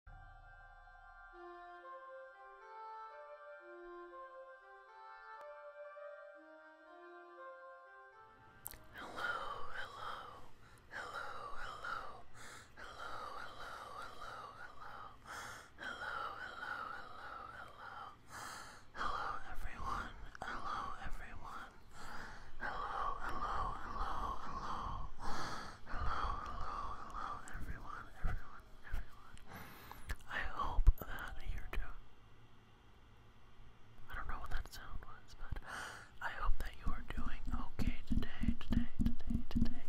Hello, hello, hello, hello, hello, hello, hello, hello, hello, hello, hello, hello, hello, everyone, hello, everyone, hello, hello, hello, hello. Hello, hello, hello, everyone, everyone, everyone. I hope that you're doing. I don't know what that sound was, but I hope that you are doing okay today, today, today, today.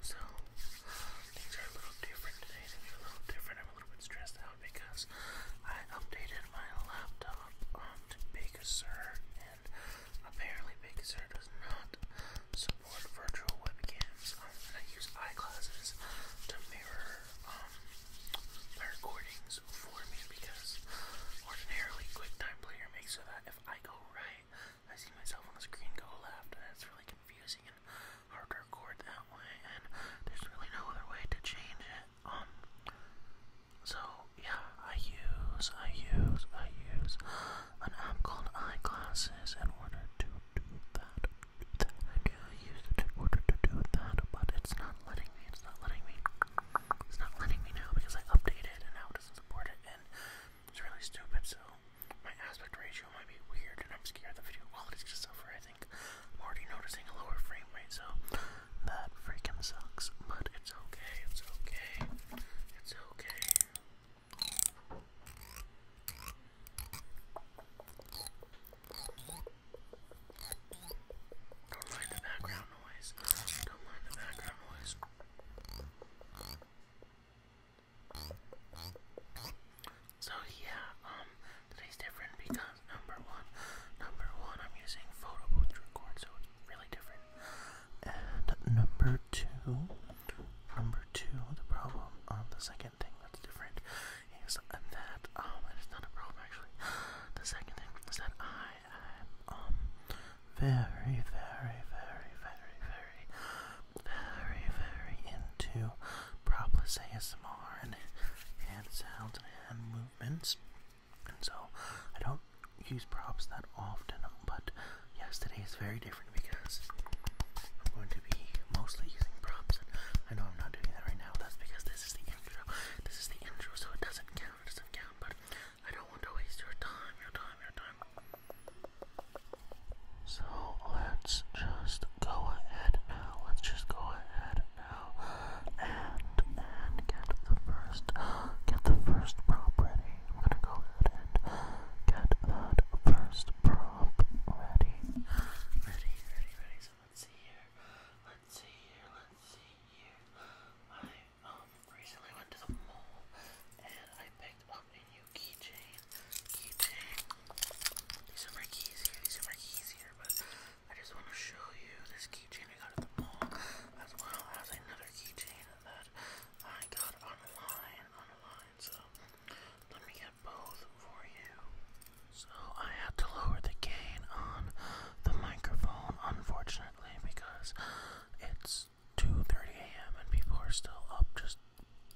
So, things are a little different today. Things are a little different. I'm a little bit stressed out because I updated upgraded my laptop to Big Sur, and apparently Big Sur does not support virtual webcams. and I use eyeglasses to mirror my um, recordings for me because ordinarily QuickTime Player makes so that if I go right, I see myself on the screen go left, That's really confusing and hard to record that way. And there's really no other way to change it. Um, so yeah, I use, I use, I use an app called eyeglasses in order to do that. I do use it in order to do that, but it's not letting me, it's not letting me, it's not letting me now because I updated and now it doesn't support it and it's really stupid, so my aspect ratio might be weird and I'm scared the video quality is gonna suffer, I think. I'm already noticing a lower frame rate, so that freaking sucks, but it's okay, it's okay, it's okay. Don't mind the background noise. Don't mind the background noise. So yeah, um, today's different because number one, number one, I'm using photo booth to record, so it's really different. And number two, number two, the problem on um, the second thing that's different is that um, it's not a problem actually. The second thing is that I am um very, very, very, very, very, very, very into propless ASMR and hand sounds and hand movements. So I don't use props that often, but yesterday is very different because I'm going to be mostly using props. I know I'm not doing that right now. That's because this is the intro. This is the intro, so it doesn't count. It doesn't count. But I don't want to waste your time. Your time. Your time. So let's just go ahead now. Let's just go ahead and and get the first get the first prop ready. I'm gonna go ahead and get that first prop ready. Ready, ready, ready. So let's see here. Let's see here. Let's see here. I um recently went to the mall and I picked up a new keychain. Keychain. These are my keys These are my keys I just want to show you this keychain I got at the mall, as well as another keychain that I got online. Online, so let me get both for you. So I had to lower the gain on the microphone, unfortunately, because it's 2:30 a.m. and people are still up just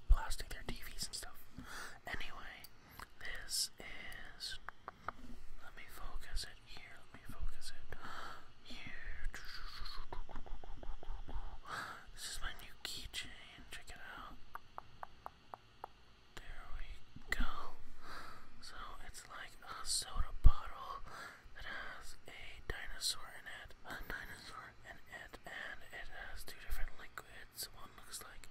blasting their TVs and stuff. Anyway, this is. Let me focus it here. Let me focus it here. This is my new keychain. Check it out. There we go. So it's like a soda bottle that has a dinosaur in it, a dinosaur in it, and it has two different liquids. One looks like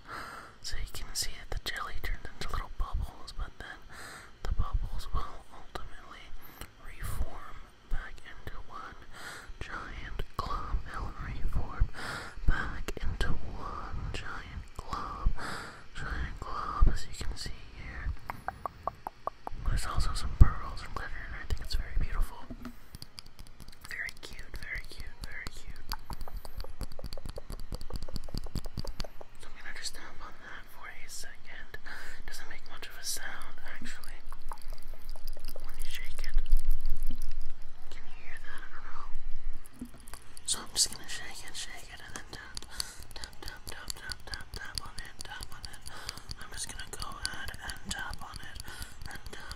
So you can see that the jelly turned into little bubbles, but then the bubbles will ultimately reform back into one giant glob. will reform back into one giant glob. Giant glob, as you can see here. There's also some pearls and glitter, and I think it's very beautiful. Very cute, very cute, very cute. So I'm gonna just tap on that for a second. Doesn't make much of a sound actually. When you shake it. Can you hear that? I don't know. So I'm just gonna shake it, shake it, and then tap, tap, tap, tap, tap, tap, on it, tap on it. I'm just gonna go ahead and tap on it and tap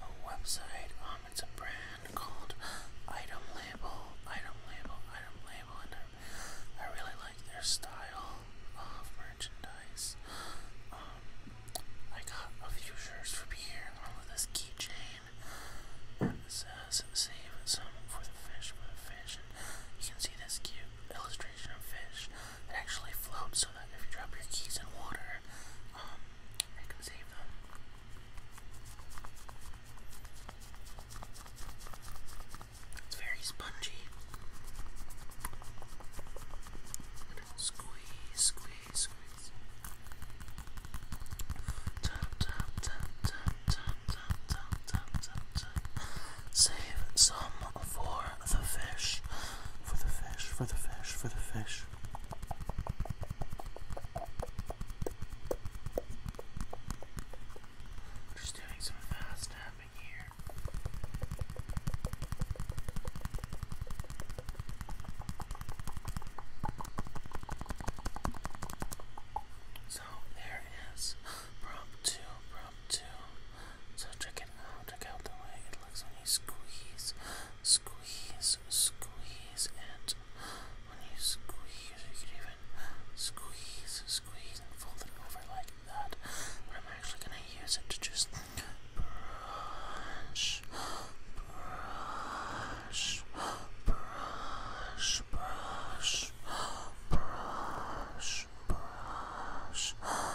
a website um it's a brand called item label item label item label and I, I really like their style of merchandise um I got a few shirts from here along with this keychain and it says save some for the fish for the fish and you can see this cute illustration of fish it actually floats so that if you drop your keys in water um, I can save them. It's very spongy. Squeeze, squeeze, squeeze. Save some for the fish. For the fish, for the fish, for the fish. We're just doing some fast tapping here. So there it is. Prop two, prop two. So check it out. Check out the way it looks when you squeeze squeeze, squeeze, and when you squeeze, you can even squeeze, squeeze, and fold it over like that. I'm actually gonna use it to just brush, brush, brush, brush, brush, brush.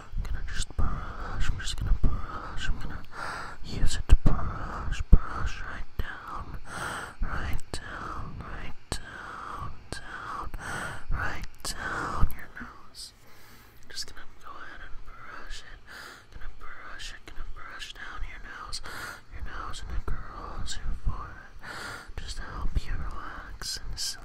gonna just brush, I'm just gonna brush, I'm gonna use it to brush, brush right down, right down, right down, down, right down your nose. I'm just gonna go ahead and brush it, gonna brush it, gonna brush down your nose, your nose and it curls your forehead, just to help you relax and sleep.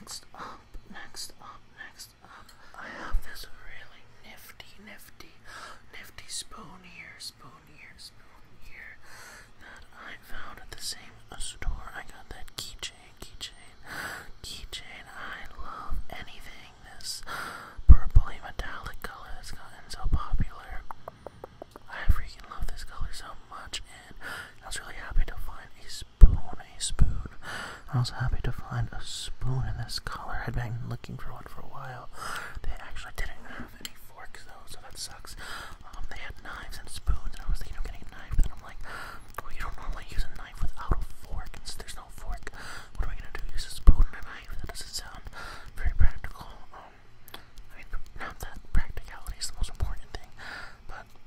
Next up, next up, next up, next up, next I have this really nifty, nifty, nifty spoon here, spoon here, spoon here that I found at the same store. I got that keychain, keychain, keychain. I love anything this purpley metallic color that's gotten so popular. I freaking love this color so much, and I was really happy to find a spoony spoon. I was happy to find a spoon in this color. I'd been looking for one for a while. They actually didn't have any forks though, so that sucks. Um, they had knives and spoons, and I was thinking of getting a knife, but I'm like, well, you don't normally use a knife without a fork, and so there's no fork. What am I gonna do? Use a spoon and a knife? That doesn't sound very practical. Um, I mean, not that practicality is the most important thing, but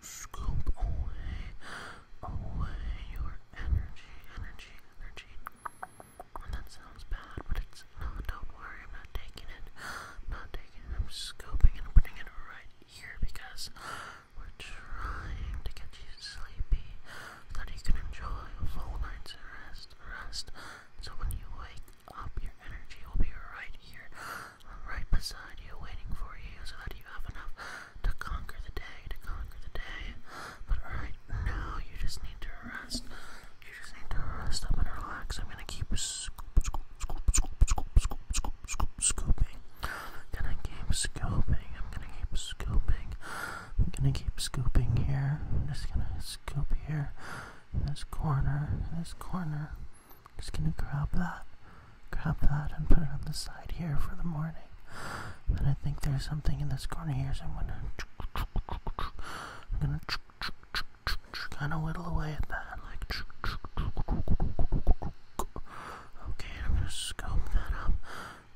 scoop away, away your energy, energy, energy. And that sounds bad, but it's not. Don't worry, I'm not taking it. not taking it. I'm scooping and putting it right here because we're trying to get you sleepy so that you can enjoy a full night's rest. Rest. So when you wake up, your energy will be right here right beside you, waiting for you so that you have enough to conquer the day, to conquer the day. But right now, you just need to rest. You just need to rest up and relax. I'm gonna keep scooping. Gonna keep scooping. I'm gonna keep scooping. I'm gonna keep scooping here. I'm just gonna scoop here, in this corner, in this corner. Just gonna grab that, grab that, and put it on the side here for the morning. But I think there's something in this corner here, so I'm gonna, I'm gonna kind of whittle away at that, like. Okay, I'm gonna scope that up,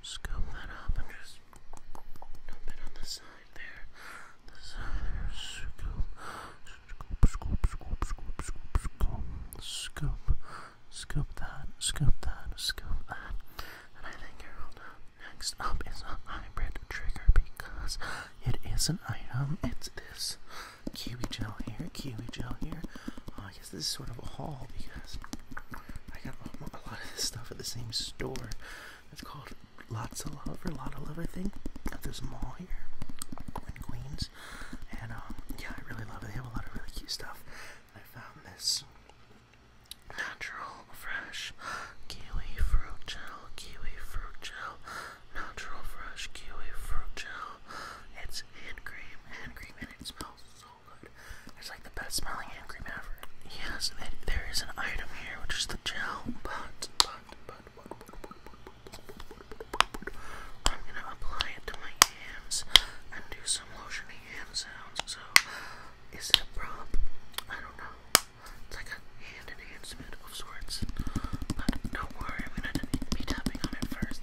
scope that up, and just dump it on the side there, the side there, scoop, scoop, scoop, scoop, scoop, scoop, scoop, scoop scoop that, scoop that, scoop that. And I think you Next up is a hybrid trigger because it is an item. It's this kiwi gel here, kiwi gel here. Oh, I guess this is sort of a haul because I got a lot of stuff at the same store. It's called Lots of Love or Lot of Love, I think. At this mall here in Queens. And um, yeah, I really love it. They have a lot of really cute stuff. I found this natural, fresh kiwi fruit gel, kiwi fruit gel, natural, fresh kiwi fruit gel. It's hand cream, hand cream, and it smells so good. It's like the best smelling hand cream ever. Yes, there is an item here, which is the gel, but, but, but, I'm gonna apply it to my hands and do some lotiony hand sounds. So, is it a prop? I don't know. It's like a hand enhancement of sorts. But do worry, I'm gonna be tapping on it first.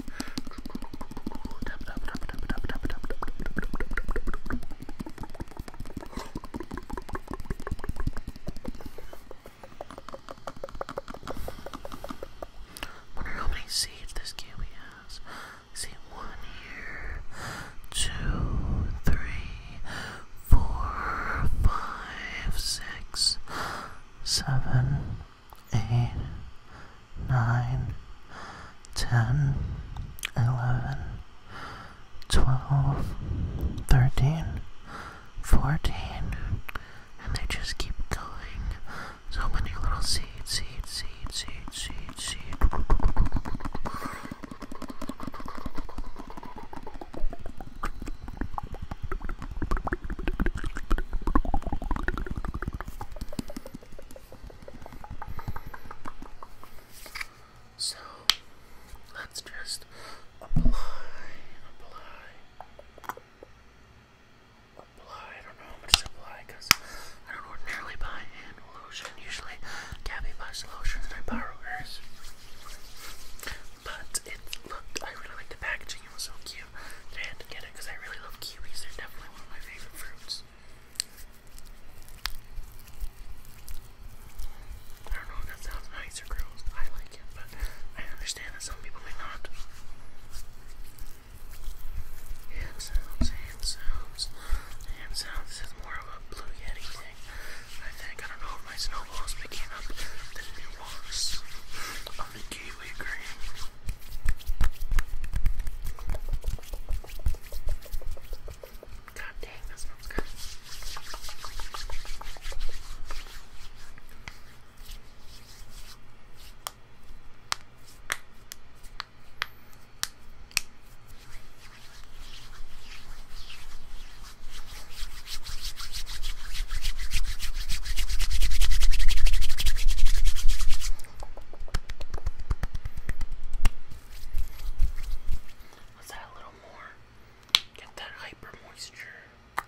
Wonder how many seeds this kiwi has. See one here, two, three, four, five, six, seven, eight, nine, ten, eleven, twelve, thirteen, fourteen, and they just keep going so many little seeds, seeds, seeds, seeds, seeds, seeds. So let's just apply, apply apply. I don't know how much to apply because I don't ordinarily buy hand lotion. Usually, Gabby buys lotions and I borrow hers. But it looked, I really liked the packaging. It was so cute I had to get it because I really love kiwis. They're definitely one of my favorite fruits. I don't know if that sounds nice or gross. I like it, but I understand that some people may not. Hand sounds, hand This is more of a Blue Yeti thing, I think. I don't know if my snowball picking up the nuance of the kiwi green. God damn that smells good. Was that a little more? Get that hyper moisture.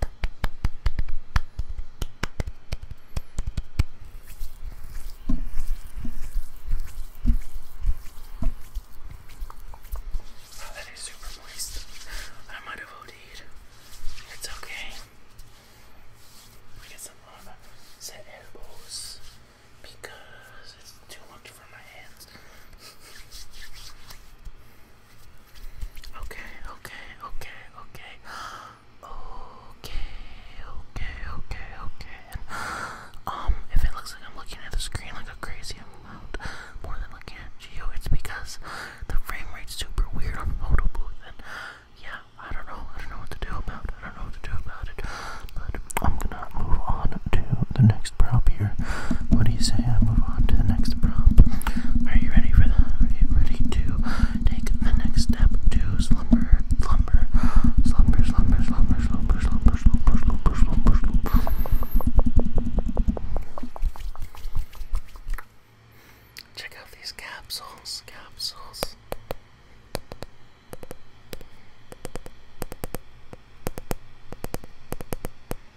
Oh, that is super moist. I might have od It's okay. We get some on set elbows because it's too much for my hands. Okay, okay, okay, okay. Okay, okay, okay, okay. And, um, if it looks like I'm looking at the screen like a crazy amount, more than looking at Geo, it's because the frame rate's super weird on Photo Booth. And yeah, I don't know. I don't know what to do about it. I don't know what to do about it. But I'm gonna move on to the next prop here. What do you say I move on to the next prompt? Are you ready for that? Are you ready to take the next step to slumber, slumber, slumber, slumber, slumber, slumber, slumber, slumber, slumber, slumber, slumber? Check out these capsules, capsules.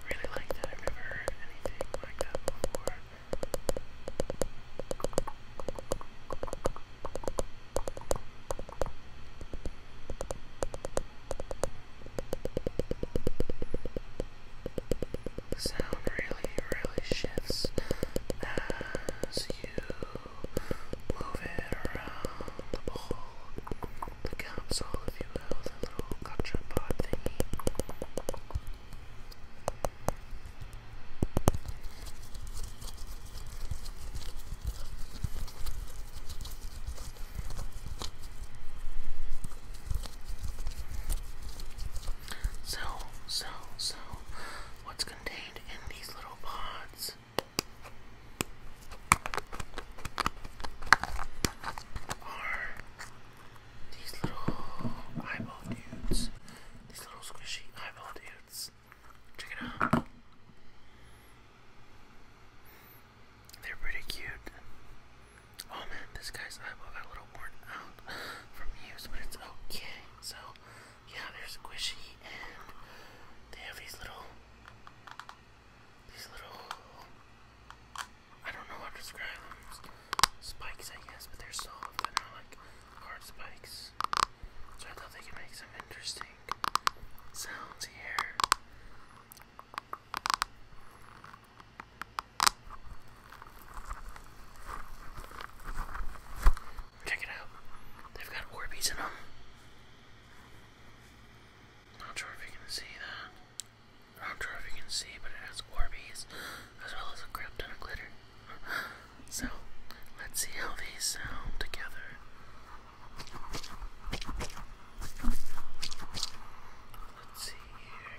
I really like that. I've anything like that before. The sound really, really shifts uh, as you move it around the bowl, the console, if you will, the little gotcha So, so, so, what's contained in these little pods. Are these little eyeball dudes? These little squishy eyeball dudes. Check it out. They're pretty cute. Oh man, this guy's eyeball got a little worn out from use, but it's okay. So yeah, they're squishy and they have these little, these little, I don't know how to describe them, spikes I guess, but they're soft and they're like hard spikes. So I thought they could make some interesting sounds here. Check it out. They've got Orbeez in them. Not sure if you can see that. Not sure if you can see, but it has Orbeez as well as a crap of glitter. So, let's see how these sound together. Let's see here.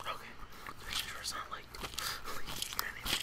Okay, making sure it's not like leaking or anything.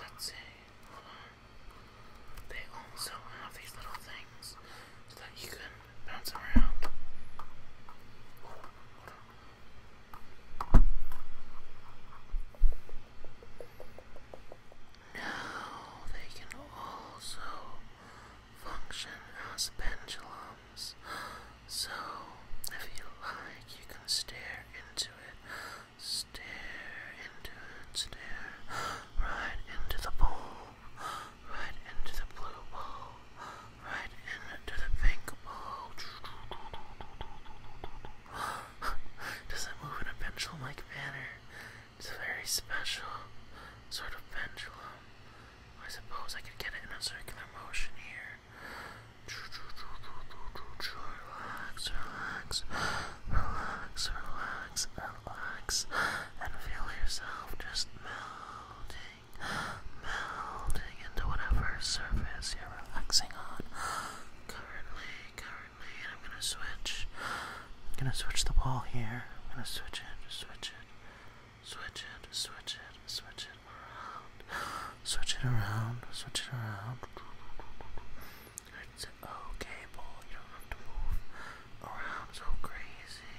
Let's see. They also have these little things so that you can bounce around. Now they can also function as pendulums. So, if you like, you can stare into it, stare into it, stare right into the bowl, right into the blue bowl right into the pink ball. Oh, Doesn't move in a pendulum-like manner. It's a very special sort of pendulum. I suppose I could get it in a circular motion here. Relax, relax, relax, relax, relax, and feel yourself just melting melding into whatever surface you're relaxing on. Currently, currently, I'm gonna switch. I'm gonna switch the wall here. I'm gonna switch it, switch it, switch it, switch it, switch it around, switch it around, switch it around. okay, ball. You don't have to move around so crazy.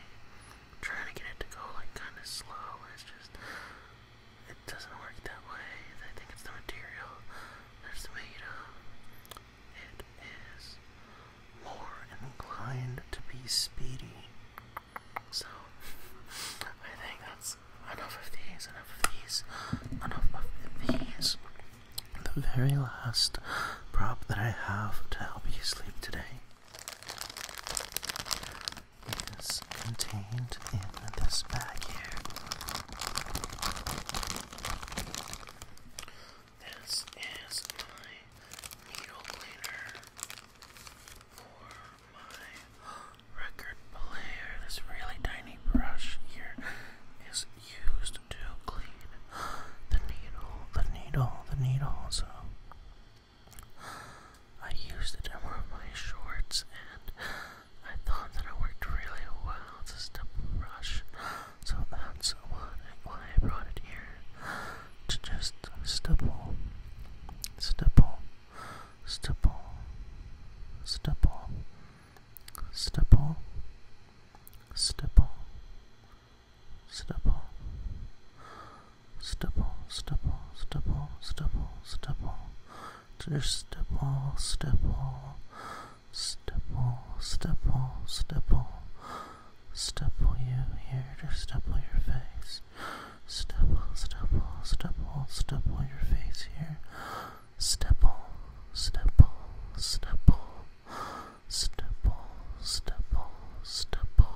trying to get it to go like kind of slow. It's just it doesn't work that way. I think it's the material that's made of. It is more inclined to be speedy. So, I think that's enough of these, enough of these, enough of these. The very last prop that I have to help you sleep today is contained in this bag here. This is my needle cleaner for my record player. This really tiny brush here is used to clean the needle, the needle, the needle. So I used it in one my shorts and I thought that it worked really well. It's a brush. So that's what why I brought it here. To just stipple. Stipple. Stipple. Stipple. Stipple. Stipple. Stipple stipple, stipple, stipple, stipple, stipple. Just stipple, stipple, stipple, stipple, stipple. Stipple you here, just stipple your face. Stipple, stipple, stipple, stipple your face here. Stipple, stipple, stipple, stipple, stipple, stipple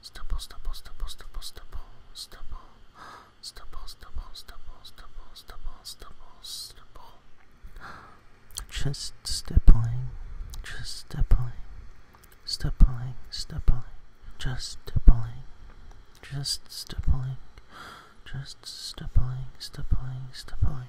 stubble, stubble, stubble, stubble, stubble, stubble, stubble, stubble, stubble, stubble, stubble, stubble, stubble. Just stippling, just stippling, stippling, stippling, just stippling, just stippling, just stippling, stippling, stippling.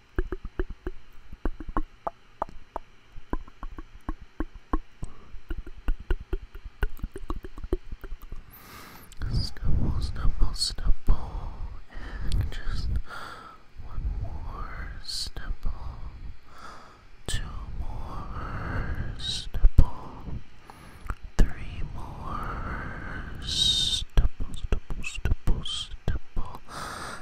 Snubble, snubble, snubble, and just one more snubble, two more snubble, three more snubble, snubble, snubble, snubble,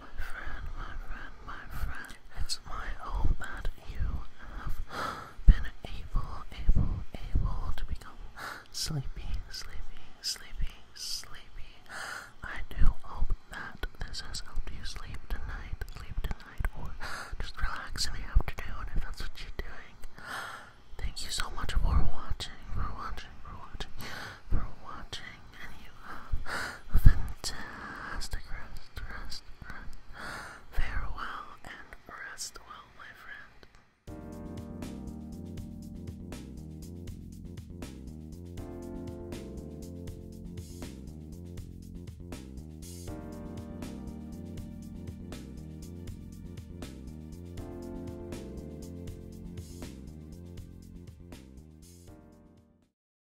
My friend, my friend, my friend, it's my hope that you have been able, able, able to become sleepy, sleepy, sleepy, sleepy. I do hope that this has helped you sleep tonight, sleep tonight, or just relax in the afternoon if that's what you're doing. Thank you so much for watching, for watching, for watching, for watching and you have a fantastic rest, rest, rest. Farewell and rest well, my friend.